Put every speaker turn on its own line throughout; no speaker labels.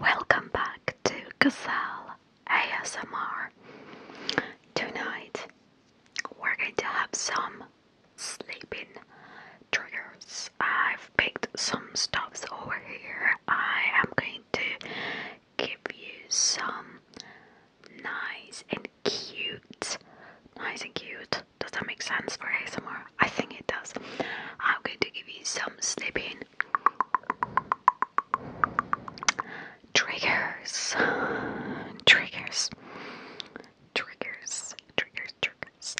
Welcome back to Gazelle ASMR. Tonight we're going to have some sleeping triggers. I've picked some stuffs over here. I am going to give you some nice and cute, nice and cute does that make sense for ASMR? I think it does. I'm going to give you some snipping triggers, triggers, triggers, triggers, triggers.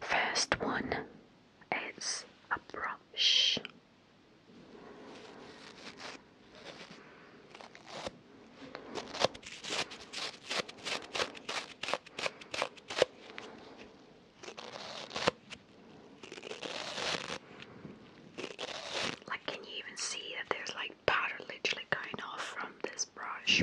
First one is a brush. Like, can you even see that there's like powder literally going off from this brush?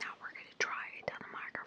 Now we're going to try it on microphone.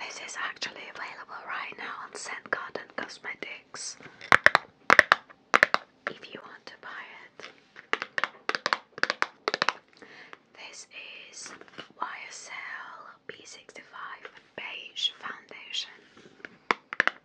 this is actually available right now on Scent Garden Cosmetics. If you want to buy it, this is YSL B65 Beige Foundation.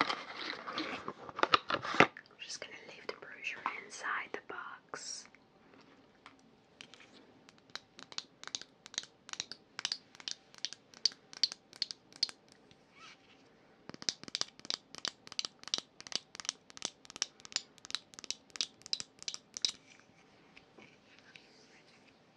I'm just going to leave the brochure inside the box.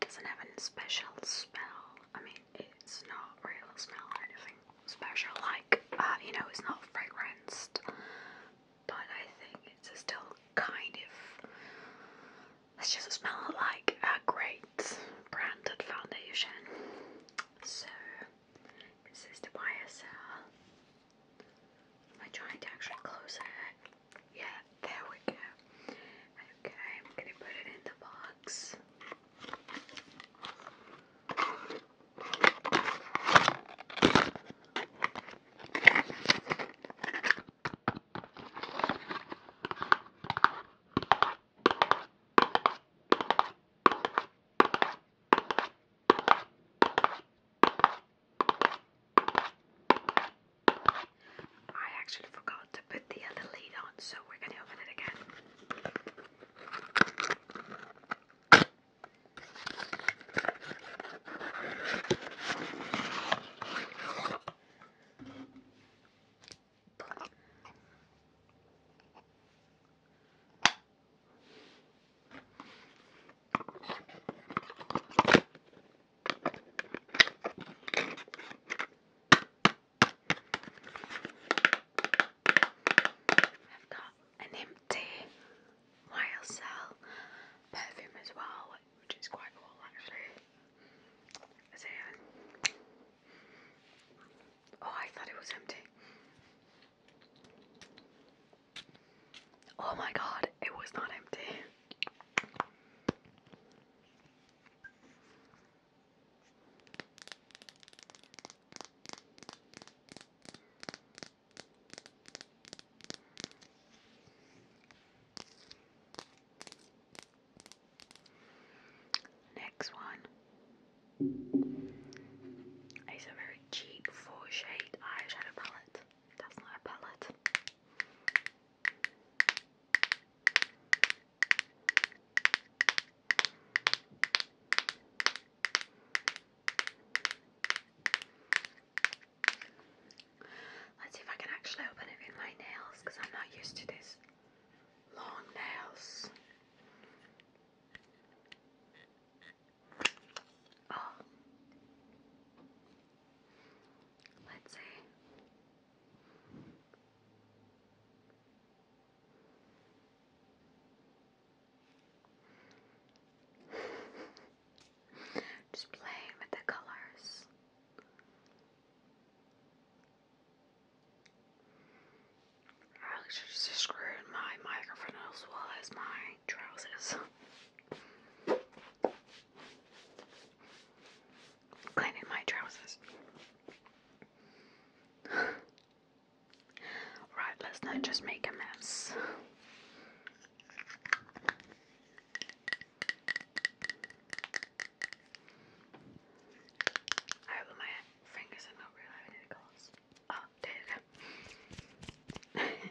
Doesn't have any special smell. I mean, it's not a smell or anything special. Like, uh, you know, it's not fragranced, but I think it's still kind of. It's just smell like a great branded foundation. So Princess Tobias cell. Am I trying to actually close it? Yeah, there we go. Okay, I'm gonna put it in the box. I actually forgot to put the other lid on, so we're going to open it again. I've got an empty YSL perfume as well, which is quite cool actually. So, Oh, I thought it was empty. Oh my god, it was not empty. Next one. It's a very cheap four shade eyeshadow palette. That's not a palette. Let's see if I can actually open it with my nails because I'm not used to this long nails. Oh. Let's see. Just playing with the colors. I actually just screwed my microphone as well as my trousers. Cleaning my trousers. right, let's not just make a mess. I have my fingers are not real, I have any claws? Oh, there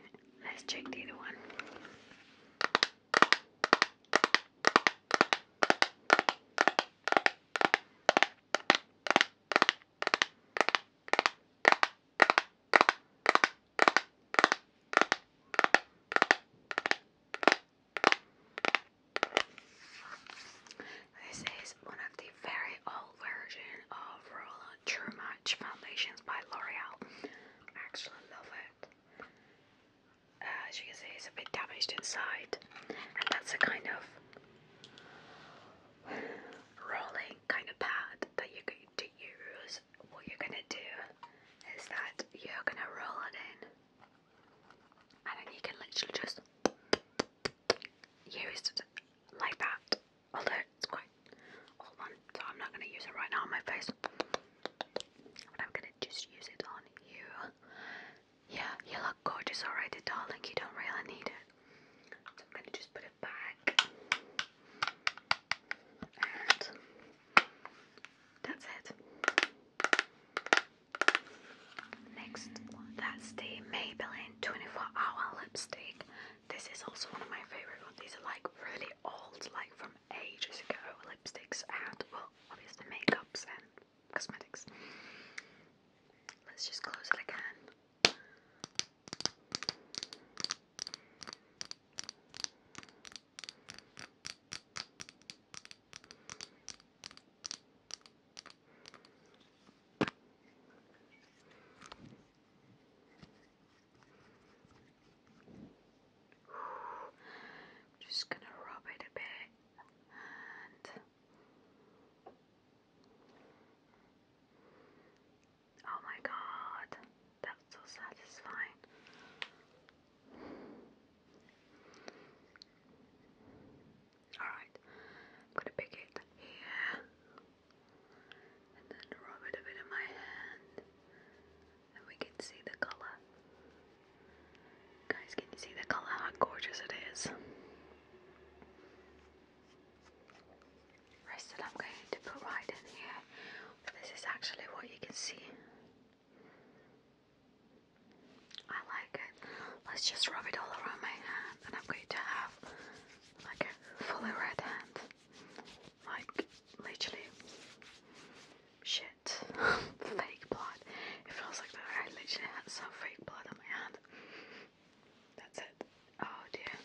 Let's check the other one. This is one of the very old version of Roland True Match foundations by L'Oreal. actually love it. as you can see, it's a bit damaged inside, and that's a kind of rolling kind of pad that you're going to use. What you're going to do is that you're going to roll it in, and then you can literally just used like that, although it's quite old one, so I'm not going to use it right now on my face. But I'm going to just use it on you. Yeah, you look gorgeous already, darling. You don't really need it. So I'm going to just put it back. And that's it. Next, that's the Maybelline 24 Hour Lipstick. This is also one of my favorite These are like really old, like from ages ago lipsticks and, well, obviously makeups and cosmetics. Let's just close it again. I'm just going to rub it a bit and oh my god, that's so satisfying. Alright, I'm gonna pick it here and then rub it a bit in my hand and we can see the colour. Guys, can you see the colour? How gorgeous it is. Rest that I'm going to put right in here. This is actually what you can see. I like it. Let's just rub it all around my hand, and I'm going to have like a fully red hand. Like, literally, shit. fake blood. It feels like I literally had some fake blood on my hand. That's it. Oh dear.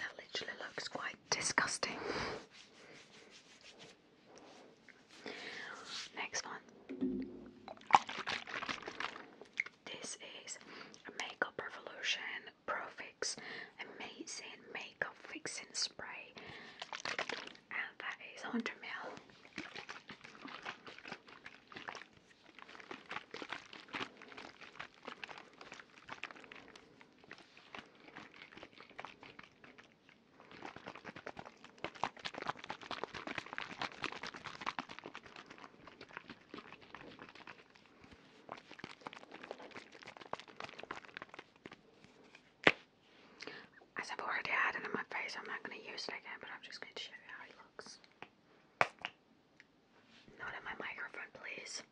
That literally looks quite disgusting. Next one. This is Makeup Revolution Profix Amazing Makeup Fixing Spray, and that is 100 ml. As I've already had it my face, I'm not going to use it again, but I'm just going to show you how it looks. Not in my microphone, please.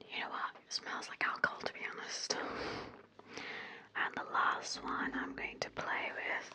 You know what? It smells like alcohol to be honest. And the last one I'm going to play with.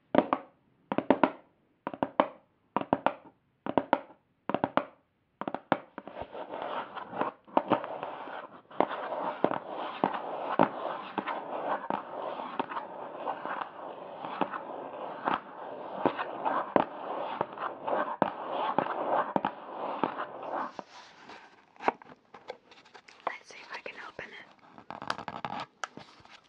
Let's see if I can open it.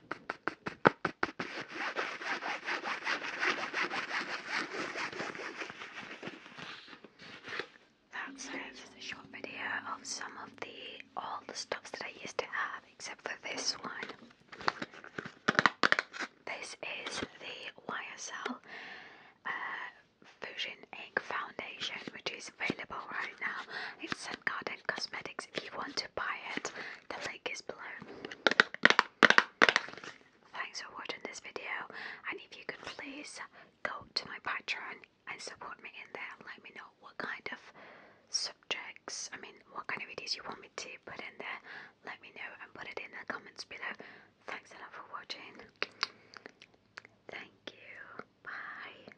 That's it. Just a short video of some of the all the stuffs that I used to have, except for this one. This is the YSL uh, Fusion Ink Foundation, which is available right now. It's Sun Garden Cosmetics. If you want to buy it, the link is below. Thanks for watching this video, and if you could please go to my Patreon and support me in there. Let me know what kind of subjects, I mean, what kind of videos you want me to put in there. Let me know and put it in the comments below. Thanks a lot for watching. Thank you. Bye.